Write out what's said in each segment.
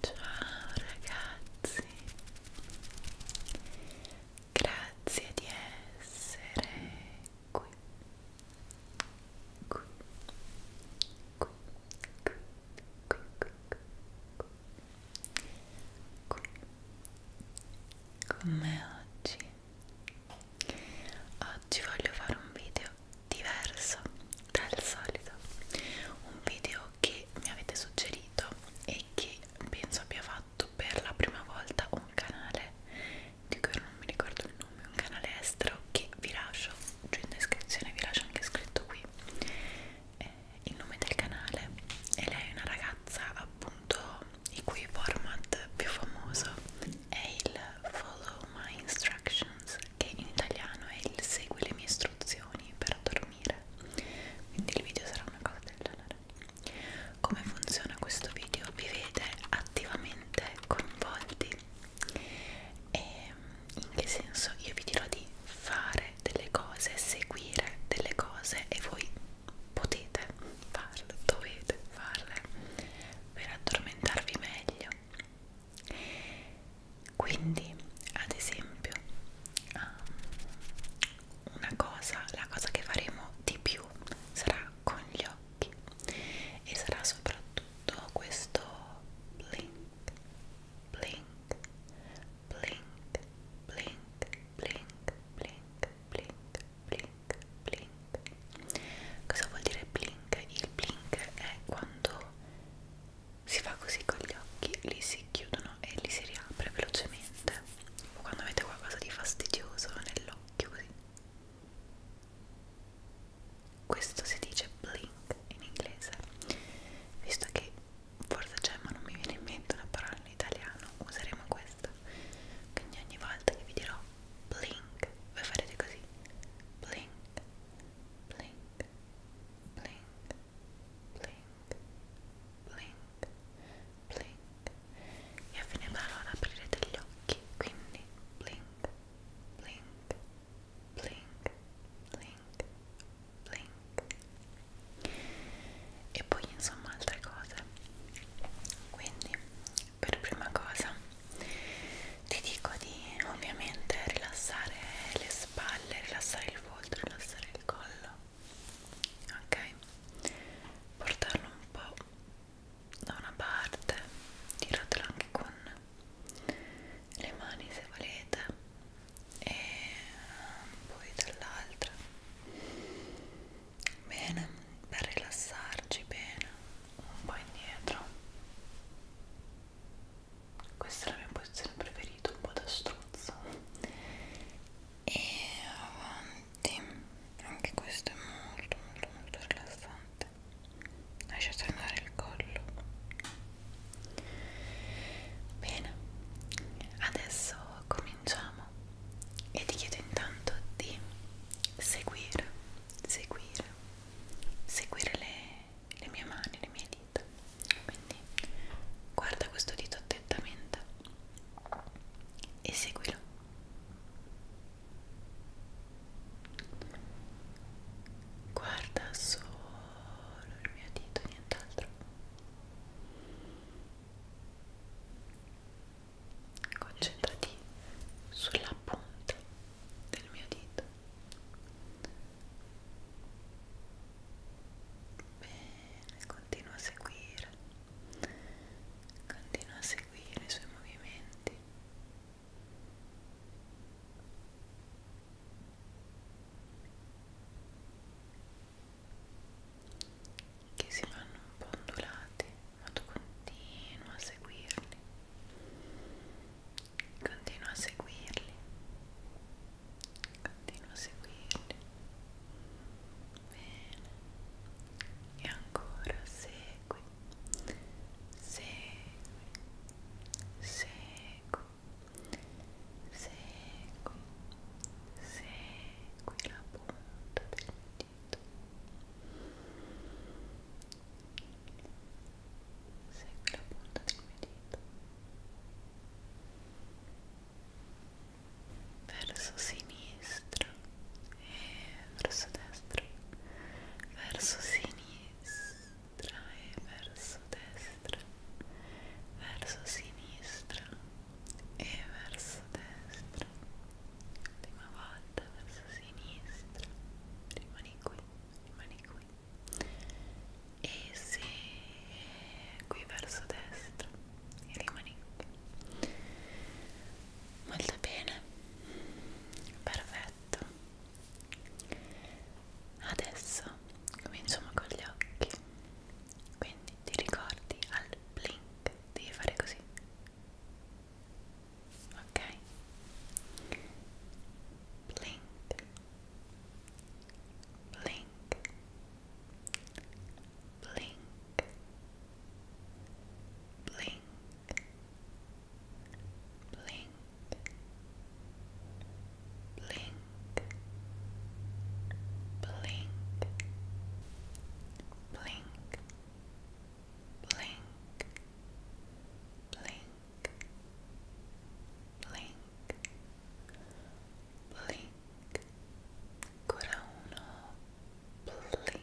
Ciao ragazzi, grazie di essere qui, qui, qui, qui, qui, qui, qui, qui. con me oggi Oggi voglio fare un video diverso dal solito, un video che mi avete suggerito e che penso abbia fatto per la prima volta un canale di cui non mi ricordo il nome, un canale estero che vi lascio giù in descrizione, vi lascio anche scritto qui eh, il nome del canale e lei è una ragazza appunto il cui format più famoso è il Follow My Instructions, che in italiano è il Segui le mie istruzioni per dormire. Quindi il video sarà una cosa del genere. Come funziona questo video? Vi vede attivamente coinvolti. E in che senso? Io vi dirò di fare delle cose, seguire delle cose e voi potete farle, dovete farle per addormentarvi meglio quindi ad esempio um, una cosa la cosa che faremo di più sarà con gli occhi e sarà soprattutto questo blink blink blink blink blink blink blink blink blink, blink. Cosa vuol dire blink? Il blink è quando si fa così con gli occhi, li si chiudono e li si riapre velocemente. O quando avete qualcosa di fastidioso nell'occhio così. Questo si dice blink in inglese, visto che forse c'è ma non mi viene in mente una parola in italiano, useremo questa. Quindi ogni volta che vi dirò blink, voi farete così blink, blink, blink, blink, blink, blink e a fine parola aprirete gli occhi, quindi blink, blink, blink, blink, blink e poi insomma altre cose quindi per prima cosa ti dico di ovviamente rilassare le spalle, rilassare il volto, rilassare il collo, ok? Portarlo un po' da una parte, tiratelo anche con le mani se volete e poi dall'altra bene per rilassarci bene un po' indietro questa è la mia posizione preferita un po' da struzzo e avanti anche questo è molto molto molto rilassante lasciate andare il collo bene adesso cominciamo e ti chiedo intanto di seguire seguire seguire le, le mie mani, le mie dita quindi guarda questo dito attentamente e seguilo guarda solo il mio dito nient'altro concentrati sulla punta del mio dito bene continua a seguire continua a seguire i suoi movimenti che si vanno un po' ondulati ma tu continua a seguirli continua a seguirli continua a seguirli bene e ancora segui segui segui segui segui la punta del dito petto segui la punta del mio dito verso sinistra e verso destra verso sinistra e verso destra verso sinistra e verso destra l'ultima volta verso sinistra sinistra rimani qui rimani qui e se qui verso destra e rimani qui molto bene perfetto adesso cominciamo con gli occhi quindi ti ricordi al blink devi fare così Okay. Blink. Blink. Blink. Blink. Blink. Blink. Blink. Blink. blink, blink, blink, blink, ancora uno, blink.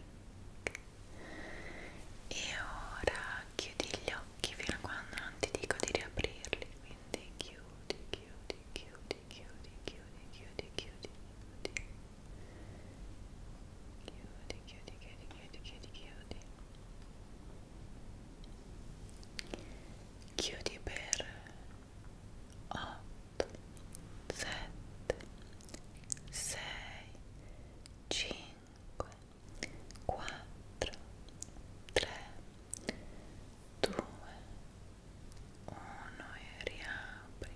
E ora chiudi gli occhi fino a quando non ti dico di riaprirli, quindi chiudi, chiudi, chiudi, chiudi, chiudi, chiudi, chiudi, chiudi. chiudi chiudi chiudi chiudi chiudi chiudi chiudi chiudi per 8 7 6 5 4 3 2 1 e riapri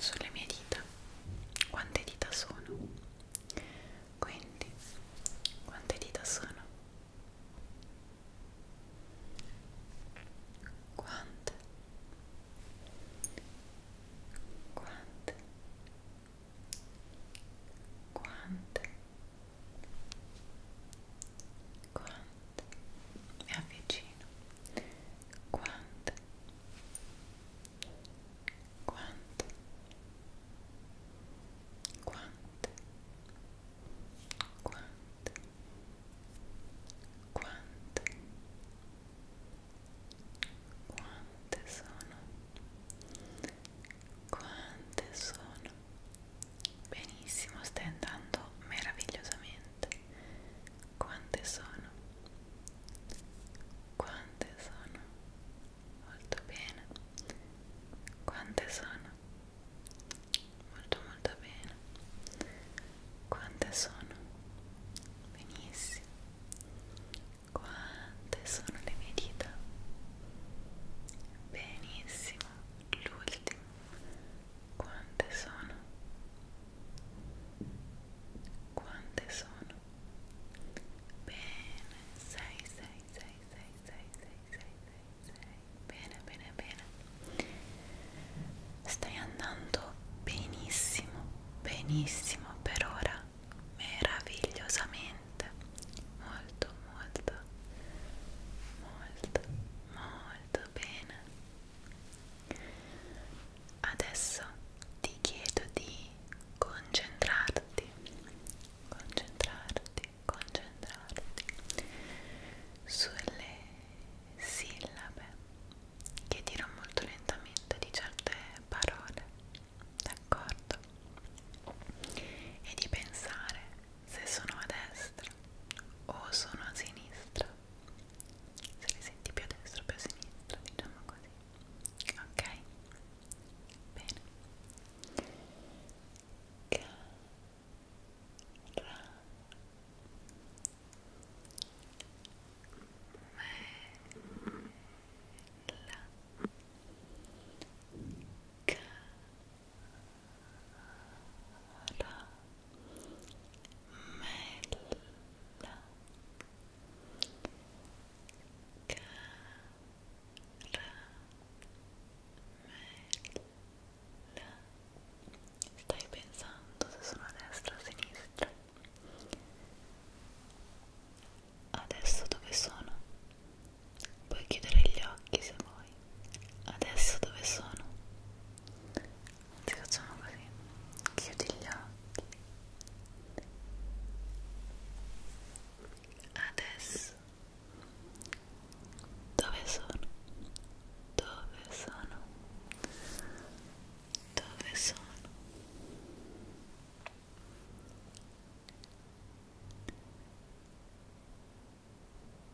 sulle mie dita quante dita sono quindi quante dita sono quante quante quante quante quante mi avvicino quante quante quante quante quante quante sono quante sono benissimo stai andando meravigliosamente quante sono? Quante sono? Molto bene. Quante sono? Molto molto bene. Quante sono? Benissimo. Quante sono le mie dita? Benissimo. L'ultimo. Quante sono? Quante sono? Bene, 6, 6, 6, 6, 6, 6, 6, 6, 6. Bene, bene, bene. Stai andando benissimo, benissimo per ora. Meravigliosamente. Molto, molto, molto, molto bene. Adesso ti chiedo di concentrarti, concentrarti, concentrarti sulle sillabe che dirò molto lentamente di certe parole, d'accordo? E di pensare se sono a destra o sono a sinistra se li senti più a destra o più a sinistra diciamo così ok bene Cara Cara bella caramella stai pensando se sono a destra o a sinistra adesso dove sono? puoi chiudere gli occhi se vuoi adesso dove sono? ti facciamo così chiudi gli occhi adesso dove sono? dove sono? dove sono?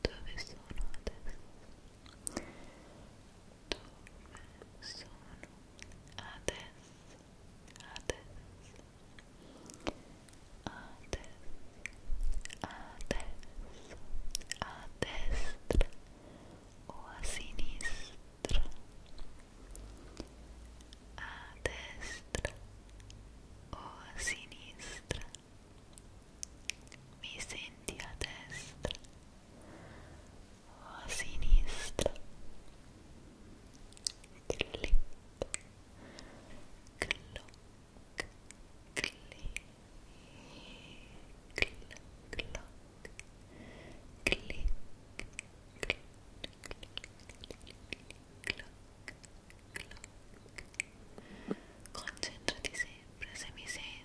Dove sono adesso? Dove sono adesso? Adesso. Adesso. Adesso. A destra o a sinistra? A destra o a sinistra? A destra o a sinistra? mi senti a destra o a sinistra clic cloc clic clic cloc clic clic clic cloc Concentrati sempre se mi senti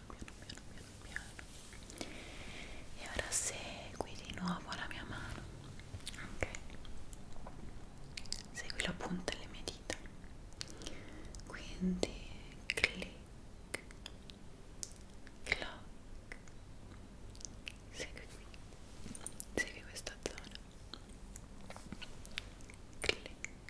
piano piano piano piano piano e ora segui di nuovo la mia mano ok segui la punta delle mie dita quindi clic cloc segui qui segui questa zona clic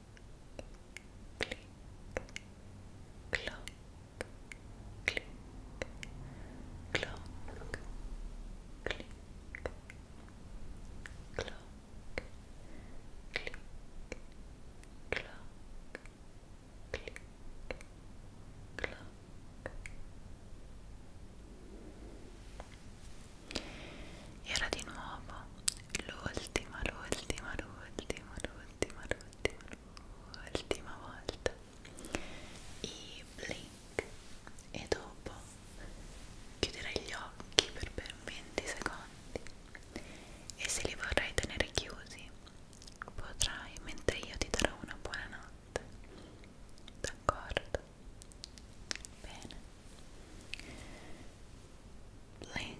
clic, cloc, clic, cloc, clic, cloc, clic, cloc, clic, cloc. Era di nuovo l'ultima, l'ultima, l'ultima, l'ultima l'ultima, l'ultima, l'ultima volta i blink e dopo chiuderai gli occhi per ben 20 secondi e se li vorrai tenere chiusi potrai mentre io ti darò una buona notte d'accordo? bene blink blink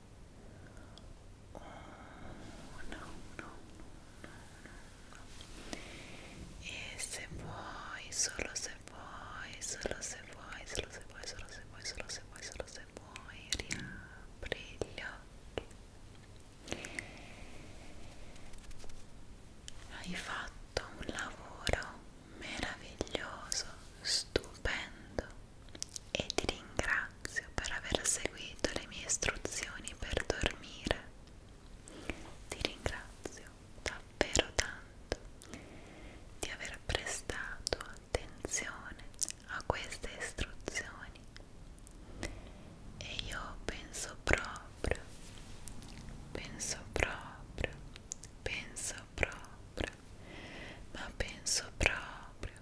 1 1 1 e se vuoi solo se vuoi solo se vuoi solo se vuoi solo se vuoi solo se vuoi solo se vuoi riapri gli occhi hai fatto un lavoro meraviglioso stupendo e ti ringrazio per aver seguito le mie istruzioni per dormire. Ti ringrazio davvero tanto di aver prestato attenzione a queste istruzioni e io penso proprio, penso proprio, penso proprio, ma penso proprio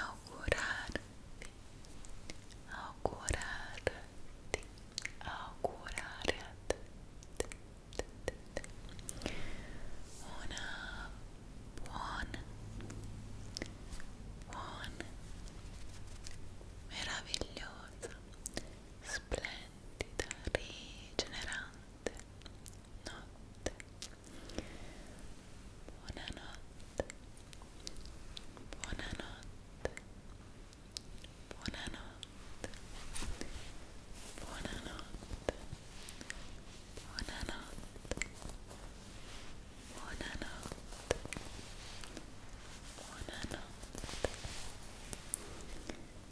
Augurarte, augurarte, augurarte una buona, buona, meravigliosa, splendida splendida, rigenerante notte. Buonanotte, buonanotte, buonanotte, buonanotte, buonanotte, buonanotte. Buonanotte, buonanotte, buonanotte,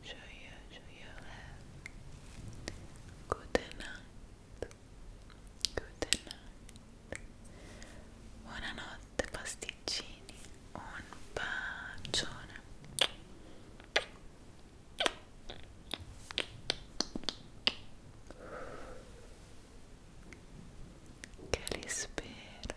Şöyle you. Good night. Good night. Buonanotte pasticcini. Un bacione. Che li spera.